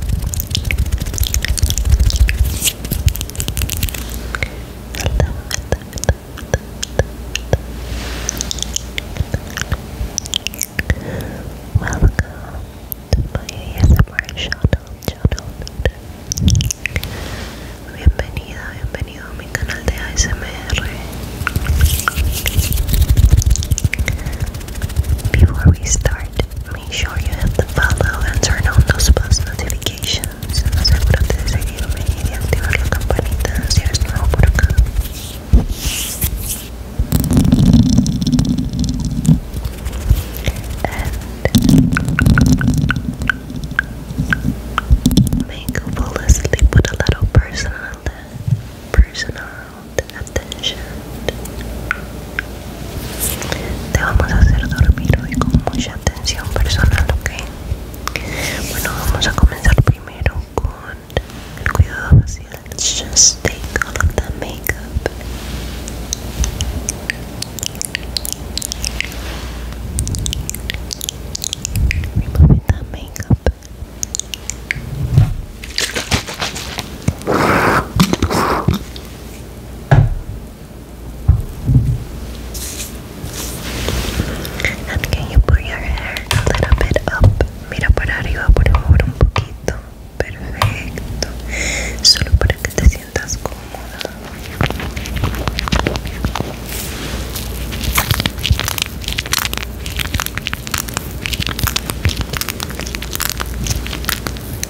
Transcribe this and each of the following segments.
Welcome to my ASMR channel, channel. Bienvenida, bienvenido a mi canal de ASMR. Before we start Make sure you hit the follow and turn on those post notifications. Asegúrate de seguirme y de activar la campanita si eres nuevo por acá. And make fall asleep with a little personal, personal atención Te vamos a hacer dormir hoy con mucha atención personal, ¿okay? Bueno, vamos a comenzar primero con el cuidado facial. Let's just take all of the makeup. Removing that makeup. And can you put your hair a little bit up? Mira para arriba, por favor, un poquito. Perfecto. Solo para que te sientas cómoda.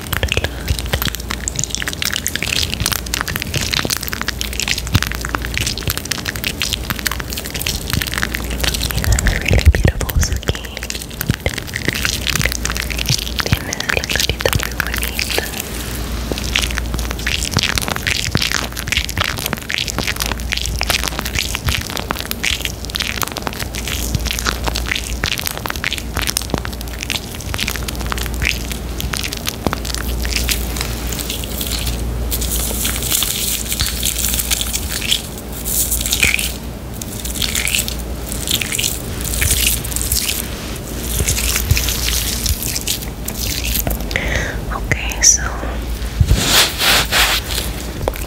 You really beautiful skin. Tienes la carita muy Okay, so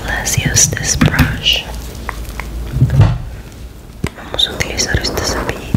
let's use this brush. Vamos a utilizar este cepillito.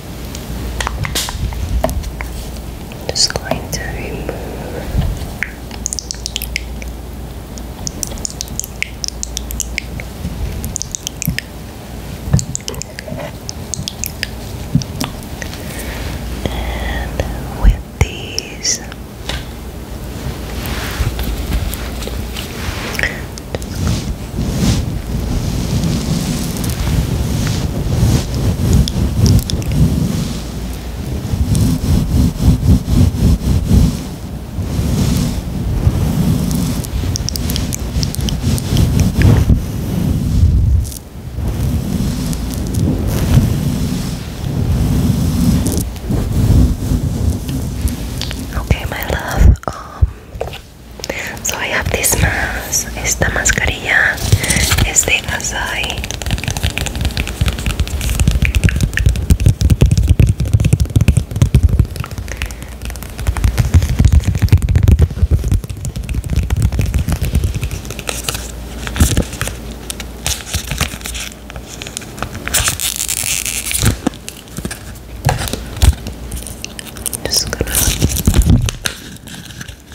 Just going to remove and with these. Okay, my love. Um, so I have this man esta mascarilla es de Azai I'm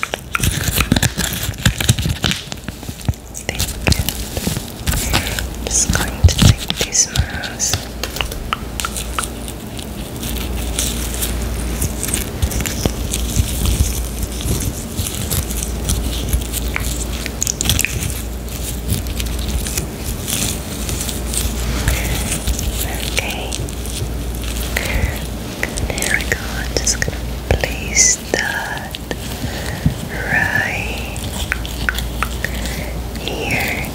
just going to take these mouse. Okay. There we go. I'm just gonna place that right here.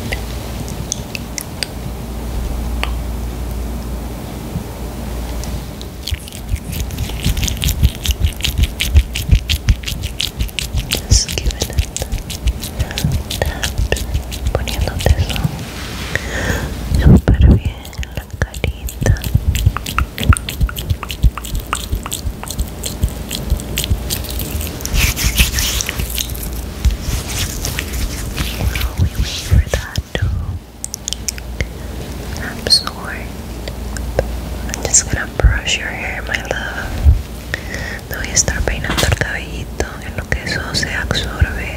Just give it a tap, poniéndotelo súper bien. en la carita while we wait for that absorb I'm just gonna brush your hair my love te voy a estar peinando el cabellito en lo que eso se absorbe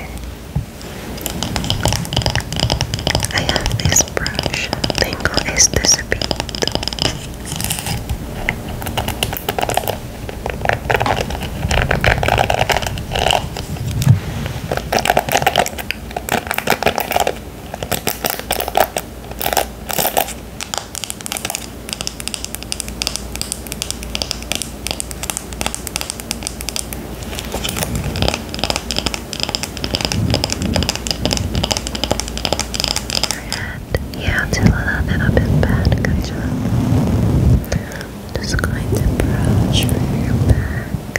I have this brush. Tengo este cepillito. Yeah, till a little bit bad. Good job. Just going to brush your back.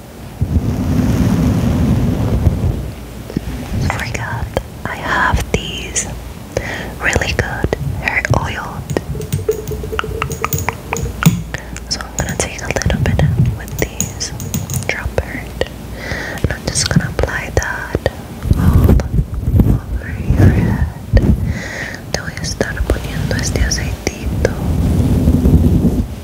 I forgot I have these really good hair oil. So I'm gonna take a little bit with these dropper and I'm just gonna apply that all over your head. Te voy a poniendo este aceitito.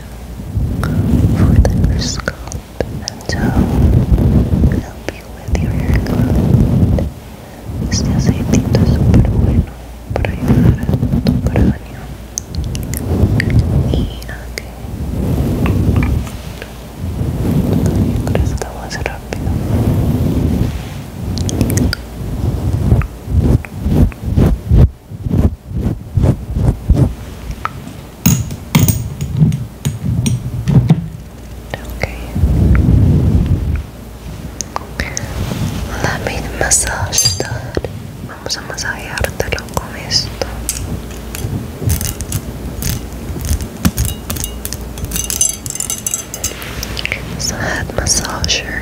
for the scalp and to help you with your hair growth. Este aceitito súper bueno para ayudar a tu cráneo y a que tu crezca más rápido. Okay. Let me massage that. Vamos a masajeártelo con esto. It's head massager.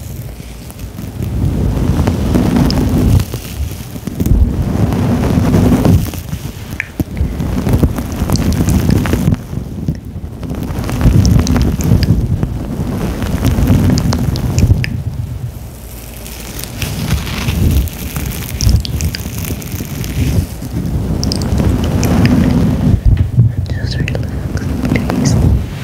Just relax, please.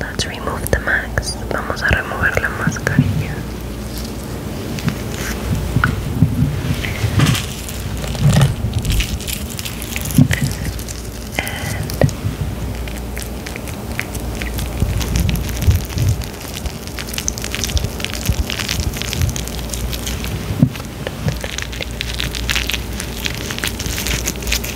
Let's remove the mask. Vamos a remover la mascarilla.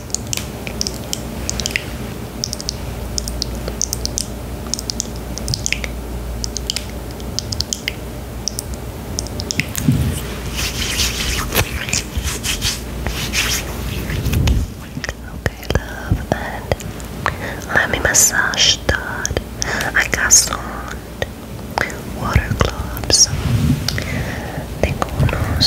Okay, love, and let me massage that. I got some water gloves. Tengo unos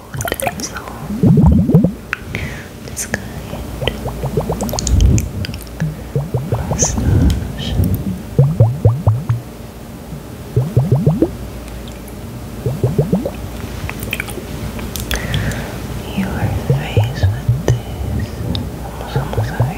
and so this kind mustache your face with this vamos a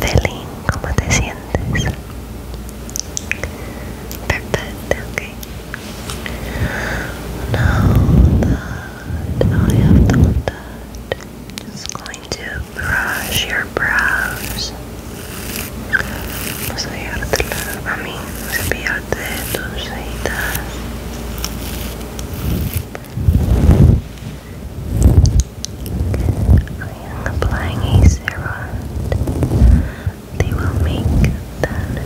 Felín, ¿cómo te sientes? Perfect, okay. Now I have done that, am just going to brush your brows. Vamos a ayudártela a mí, cepillarte tus cejitas. I am applying a Te They will make them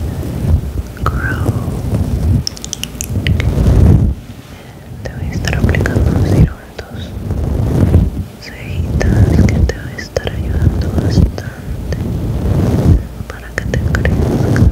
grow. Te voy a estar aplicando ciruelos, cejitas que te va a estar ayudando bastante para que te crezcan.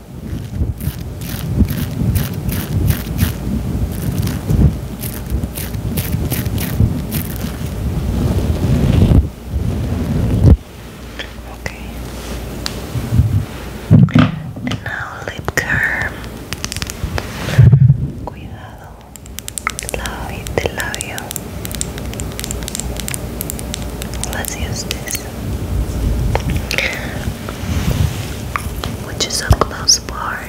Okay. And now lip curl. Cuidado. Love it, love you. Let's use this which is a close part.